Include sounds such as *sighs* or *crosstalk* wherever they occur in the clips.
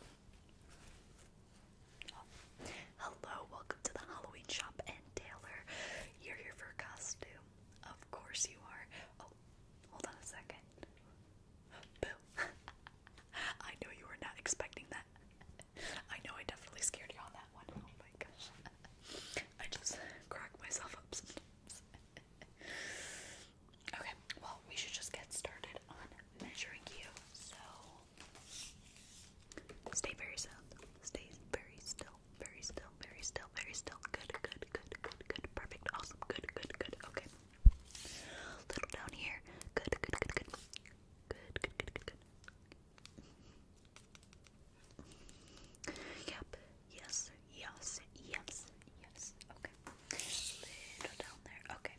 Oh. Hello, welcome to the Halloween shop and Taylor. You're here for a costume. Of course you are. Oh, hold on a second. Boo. *laughs* I know you were not expecting that. I know I definitely scared you on that one. Oh my gosh. *laughs* I just crack myself up *laughs* Okay, well, we should just get started on measuring you. So, stay very sound. Stay very still, very still, very still, very still. Good, good, good, good, good. Perfect, awesome. Good, good, good. Okay. Little down here. good, good, good. Good, good, good, good, good. Yep. Yes, yes, yes, yes. Okay. Little down there. Okay.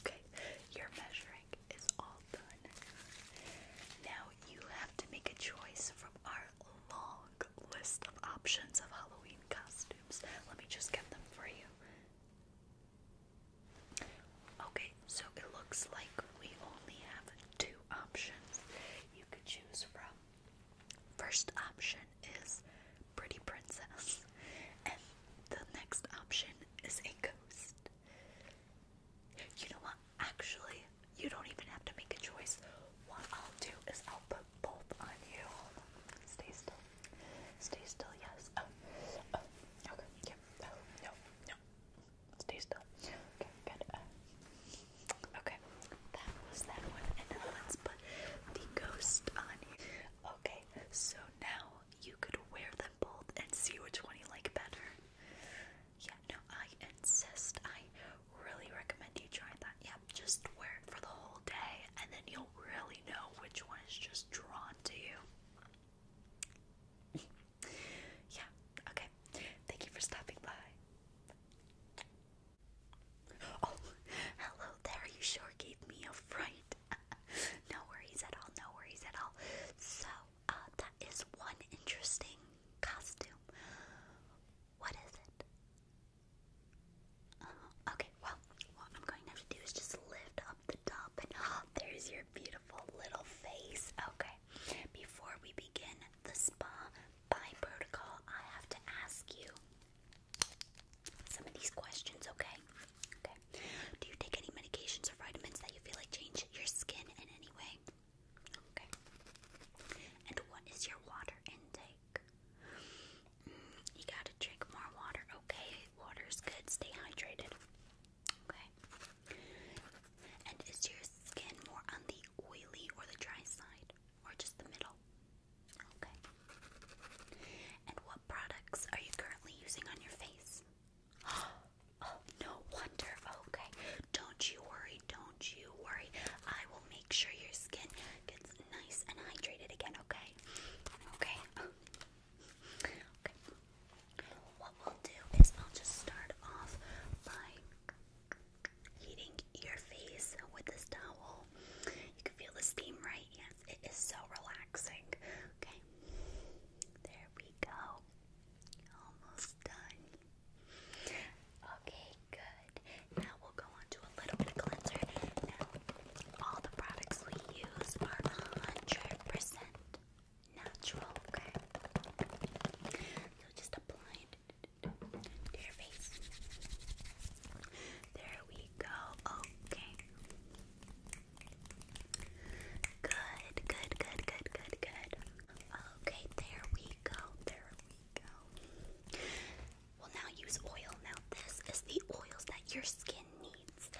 Okay, your measuring is all done. Now you have to make a choice from our long list of options of Halloween costumes. Let me just get them for you. Okay, so it looks like we only have two options you could choose from. First option is pretty princess. And the next option is a ghost. You know what? Actually, you don't even have to make a choice. What I'll do is I'll put both on you. Stay still. Stay still, yes. Oh. Oh. okay, yeah. Oh. no, no. Stay still. Okay, good. Uh, okay, that was that one. And now put the ghost on you. Okay, so now you could wear them both and see which one you like better. Yeah, no, I insist. I really recommend you try that. yeah, just wear it for the whole day and then you'll really know which one is just drawn to you. *laughs* yeah, okay. Thank you for stopping by. Oh, *laughs* hello there. You sure gave me a fright. *laughs* no worries at all, no worries at all. So, uh, that is one interesting costume. What is it? Uh-huh. okay, well, what I'm going to have to do is just lift up the top, and *gasps* oh, there's your beautiful little face. Okay, before we begin the spa by protocol, I have to ask you some of these questions, okay? Okay. Do you take any medications or vitamins that you feel like change your skin in any way? Okay. And what is your water intake? Mm, you gotta drink more water, okay? Water's good, stay hydrated. Okay. And is your skin more on the oily or the dry side? Or just the middle? Okay. And what products are you currently using on your face? *gasps* Oh, no wonder. Okay. Don't you worry. Don't you worry. I will make sure your skin gets nice and hydrated again, okay? Okay. Okay. What we'll do is I'll just start off by heating your face with this towel. You can feel the steam, right? It is so relaxing. Okay, there we go. Almost done. Okay, good. Now we'll go on a little bit of cleanser. Now, all the products we use are 100% natural, okay? So just apply to your face. There we you go. Okay. Good, good, good, good, good, good. Okay, there we go. There we go. we now use oil. Now, this is the oils that your skin needs.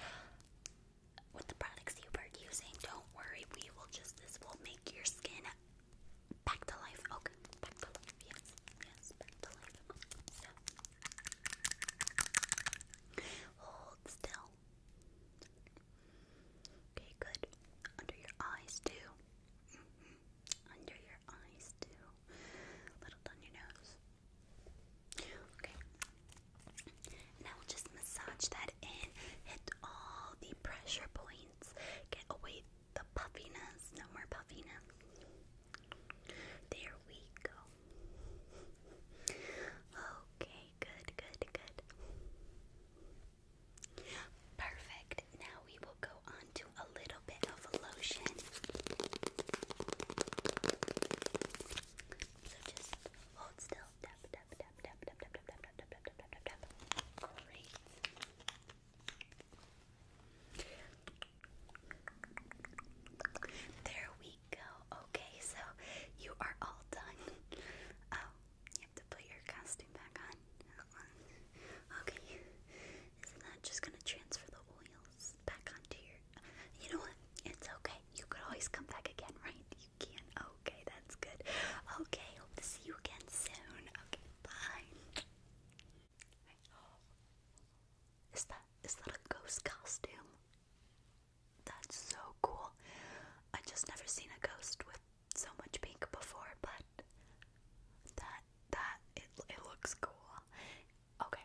With the products you were using, don't worry, we will just, this will make your skin back to life. Okay, back to life. Yes, yes, back to life. Hold still. Okay, good. Under your eyes too. Mm-hmm. Under your eyes too. A little down your nose. Okay. Now we'll just massage that in. Hit all the pressure points. Get away the puffiness. No more puffiness. There we go. Okay, good, good, good. Perfect. Now we will go on to a little bit of lotion. So just hold still. tap, tap, tap, tap, tap, tap, tap, tap, tap, tap, tap, tap. Great. There we go. Okay, so you are all done. Oh, you have to put your costume back on. Okay. Isn't that just gonna transfer the oils back onto your you know what? It's okay. You could always come back again, right? You can. Okay, that's good. Okay, hope to see you again soon. Okay, bye. Is that is that a ghost costume? That's so cool. I just never seen a ghost with so much pink before, but that that it it looks cool. Okay,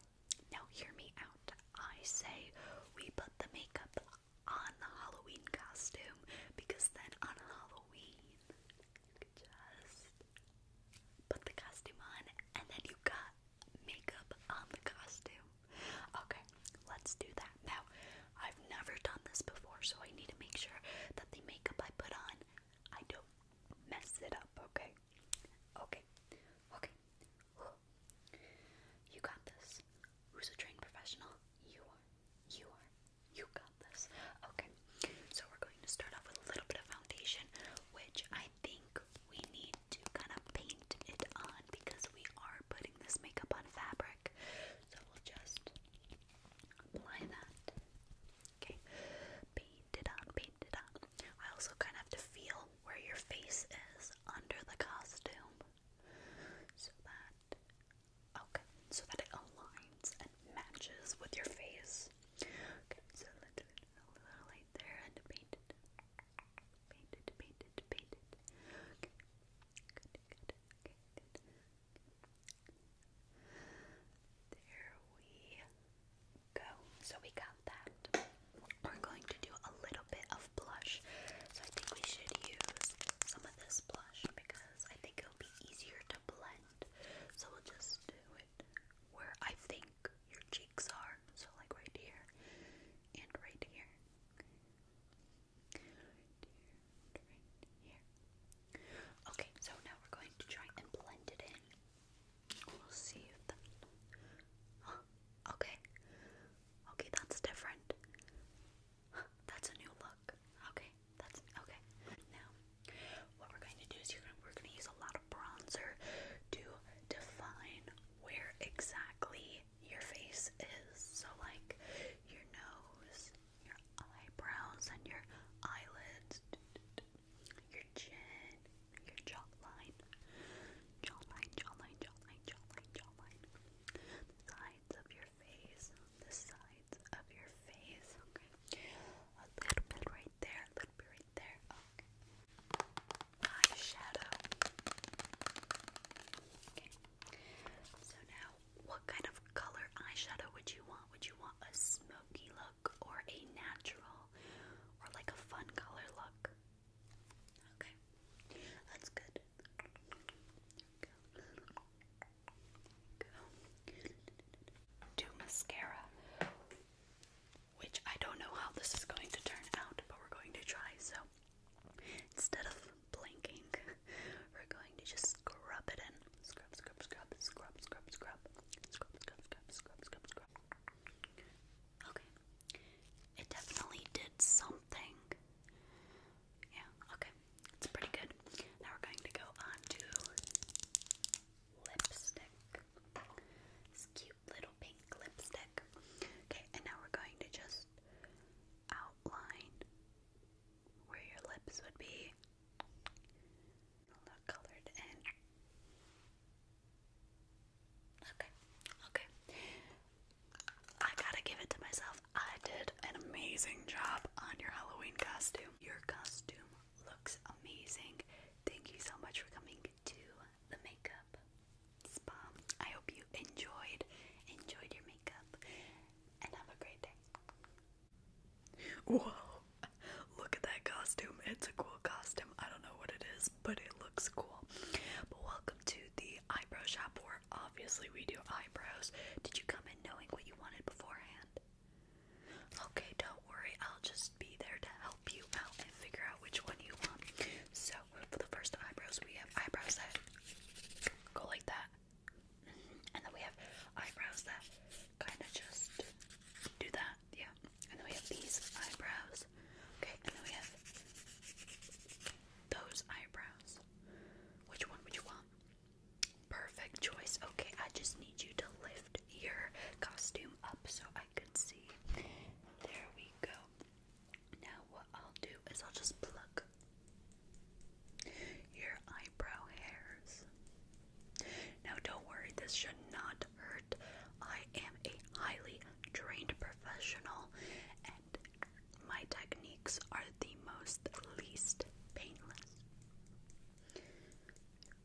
now hear me out. I say we put the makeup on the Halloween costume because then on Halloween you could just put the costume on, and then you got makeup on the costume. Okay, let's do that. Now, I've never done this before, so I need to make sure that the makeup I put on, I don't mess it up, okay? Okay, okay. *sighs* You got this. Who's a trained professional? You are. You are. You got this. Okay, so we're going to start off with a little bit of foundation, which I think we need to kind of paint it on because we are putting this makeup on fabric. So we'll just apply that. Okay, paint it on, paint it on. I also kind of have to feel where your face is under the costume so that, okay, so that it aligns and matches with your face so let's put a little light there and paint it. Paint it, paint it, paint it. Okay, good, good, okay, good. There we go. So we got that. We're going to do a little bit of blush. So I think we should use some of this blush because I think it'll be easier to blend. So we'll just where I think your cheeks are. So, like right here and right here. Okay, so now we're going to try and blend it in. We'll see if that. *gasps* okay. Okay, that's different. *gasps* That's a new look. Okay, that's okay. Now what we're going to do is you're gonna, we're going to use a lot of bronzer to define where exactly your face is. So, like your nose, your eyebrows, and your eyelids, your chin, your jawline, jawline, jawline, jawline, jawline, jawline, the sides of your face, the sides of your face. Okay, a little bit right there, a little bit right there. Eyeshadow. Okay. So now, what kind of color eyeshadow would you want? Would you want a smoky look or a natural or like a fun color look? Okay. That's good. go. go. Do mascara. Which I don't know how this is going to turn out, but we're going to try. So instead of blinking, *laughs* we're going to just scrub it in. Scrub, scrub, scrub, scrub, scrub, scrub, scrub, scrub, scrub, scrub, scrub, scrub. Okay. It definitely did something. Yeah, okay. It's pretty good. Now we're going to go on to lipstick. This cute little pink lipstick. Okay, and now we're going to just outline where your lips would be. A little in. Okay, okay. I gotta give it to myself. I did an amazing job on your Halloween costume. Your costume looks amazing. Thank you so much for coming to the makeup spa. I hope you enjoyed enjoyed your makeup and have a great day. Whoa. Look at that costume. It's a cool costume. I don't know what it is, but it looks cool. But welcome to the eyebrow shop where obviously we do eyebrows. Did you come in knowing what you wanted beforehand? Okay, don't worry, I'll just be there to help you out and figure out which one you want. So, for the first eyebrows, we have eyebrows that go like that, and then we have eyebrows that kind of just do that, yeah. And then we have these eyebrows, okay, and then we have those eyebrows. Which one would you want? Perfect choice. Okay, I just need you to lift your costume up so I can see. There we go. Now, what I'll do is I'll just pluck your eyebrow hairs. Now, don't worry, this should not hurt. I am a highly trained professional, and my techniques are the most least painless. Yeah.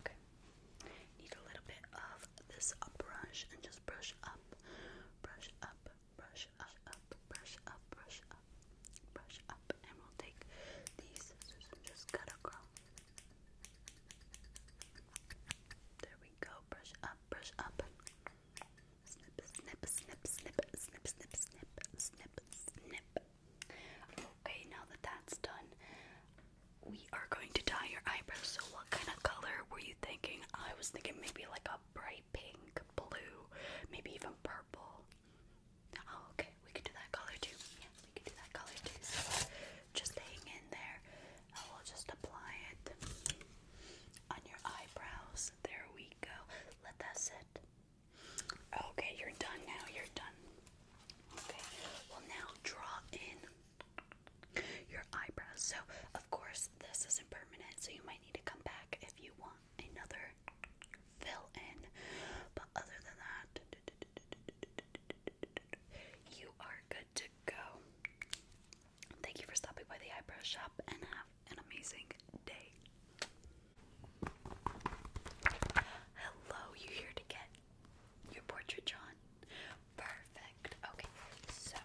okay. Need a little bit of this brush and just brush up, brush up, brush up, brush up, brush up, brush up, and we'll take these scissors and just cut across. There we go. Brush up, brush up. Snip, snip, snip, snip, snip, snip, snip, snip, snip. Okay, now that that's done, we are going to dye your eyebrows. So, what kind of color were you thinking? I was thinking maybe like a bright pink, blue, maybe even purple. Oh, okay, we could do that color too. Yeah, we could do that color too. So, just hang in there. I will just apply it on your eyebrows there we go. Let that sit. Okay, you're done now. You're done. Okay, well, now draw in your eyebrows. So, of course, this isn't permanent, so you might need to come back if you want another fill in. But other than that, you are good to go. Thank you for stopping by the eyebrow shop and have an amazing day. Hello, you here to get your portrait drawn? Perfect. Okay, so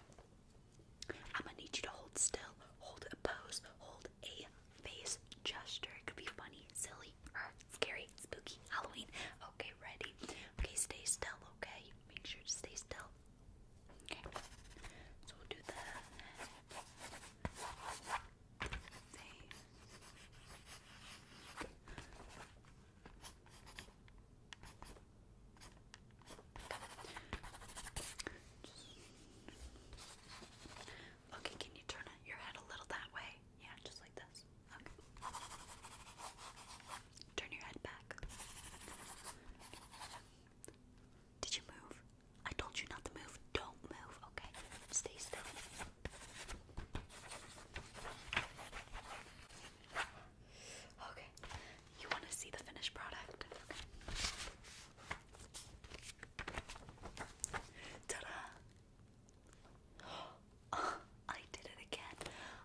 I'm gonna need you to hold still, hold a pose, hold a face gesture. It could be funny, silly, or scary, spooky, Halloween. Okay, ready? Okay, stay still, okay? Make sure to stay still. Okay, so we'll do the Okay, can you turn your head a little that way? Yeah, just like this. Okay. Turn your head back. Did you move? I told you not to move. Don't move, okay? Stay still. Okay. You want to see the finished product? Ta-da! *gasps* Oh, I did it again.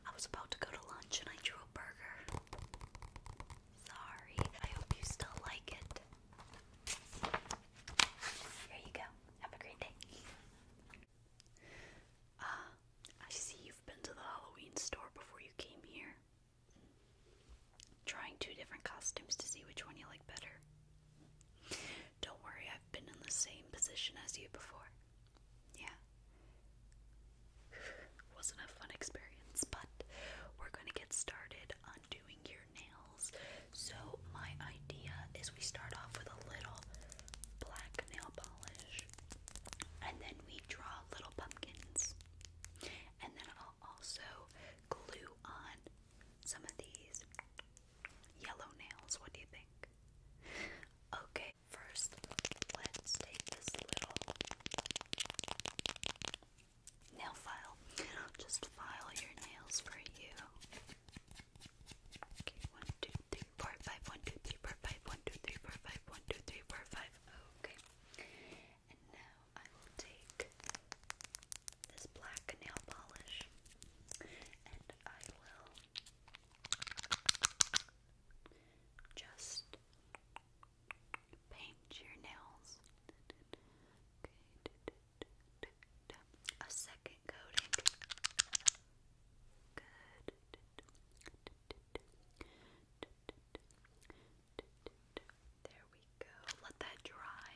I was about to go to lunch and I drew a burger. Sorry. I hope you still like it. Here you go. Have a great day. Ah, I see you've been to the Halloween store before you came here. Trying two different costumes to see which one you like better. Don't worry, I've been in the same position as you before. Yeah. *sighs* wasn't a fun experience, but we're going to get started on doing your nails. So, my idea is we start off with a little black nail polish and then we draw little pumpkins. And then I'll also glue on some of these yellow nails. What do you think? Okay, first let's take this little Nail file. just file your nails for you. Okay, one, two, three, four, five, one, two, three, four, five, one, two, three, four, five, one, two, three, four, five. Okay. And now I will take this black nail polish and I will just paint your nails. A second coating. Good. There we go. Let that dry,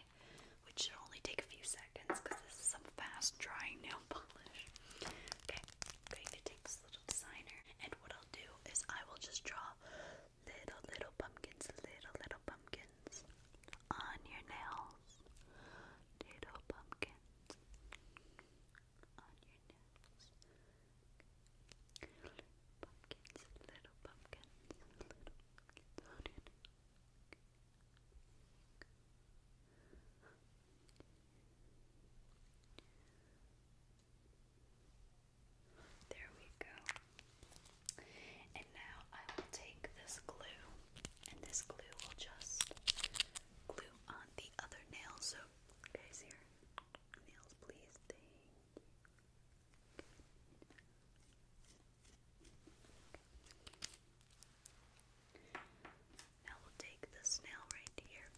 which should only take a few seconds because this is some fast drying nail polish. Okay, I'm going little designer. And what I'll do is I will just draw little, little pumpkins, little, little pumpkins on your nails. Little pumpkins there we go. And now I will take this glue, and this glue will just glue on the other nail. So, guys, here, nails, please. Thank you. Now we'll take this nail right here.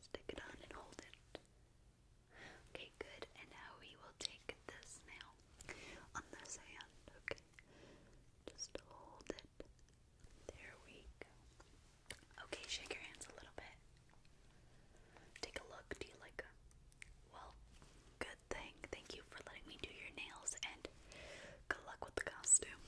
Stick it on and hold it. Okay, good. And now we will take this now on this hand, okay? Just hold it. There we go. Okay, shake your hands a little bit. Take a look. Do you like Well, good thing. Thank you for letting me do your nails and good luck with the costume.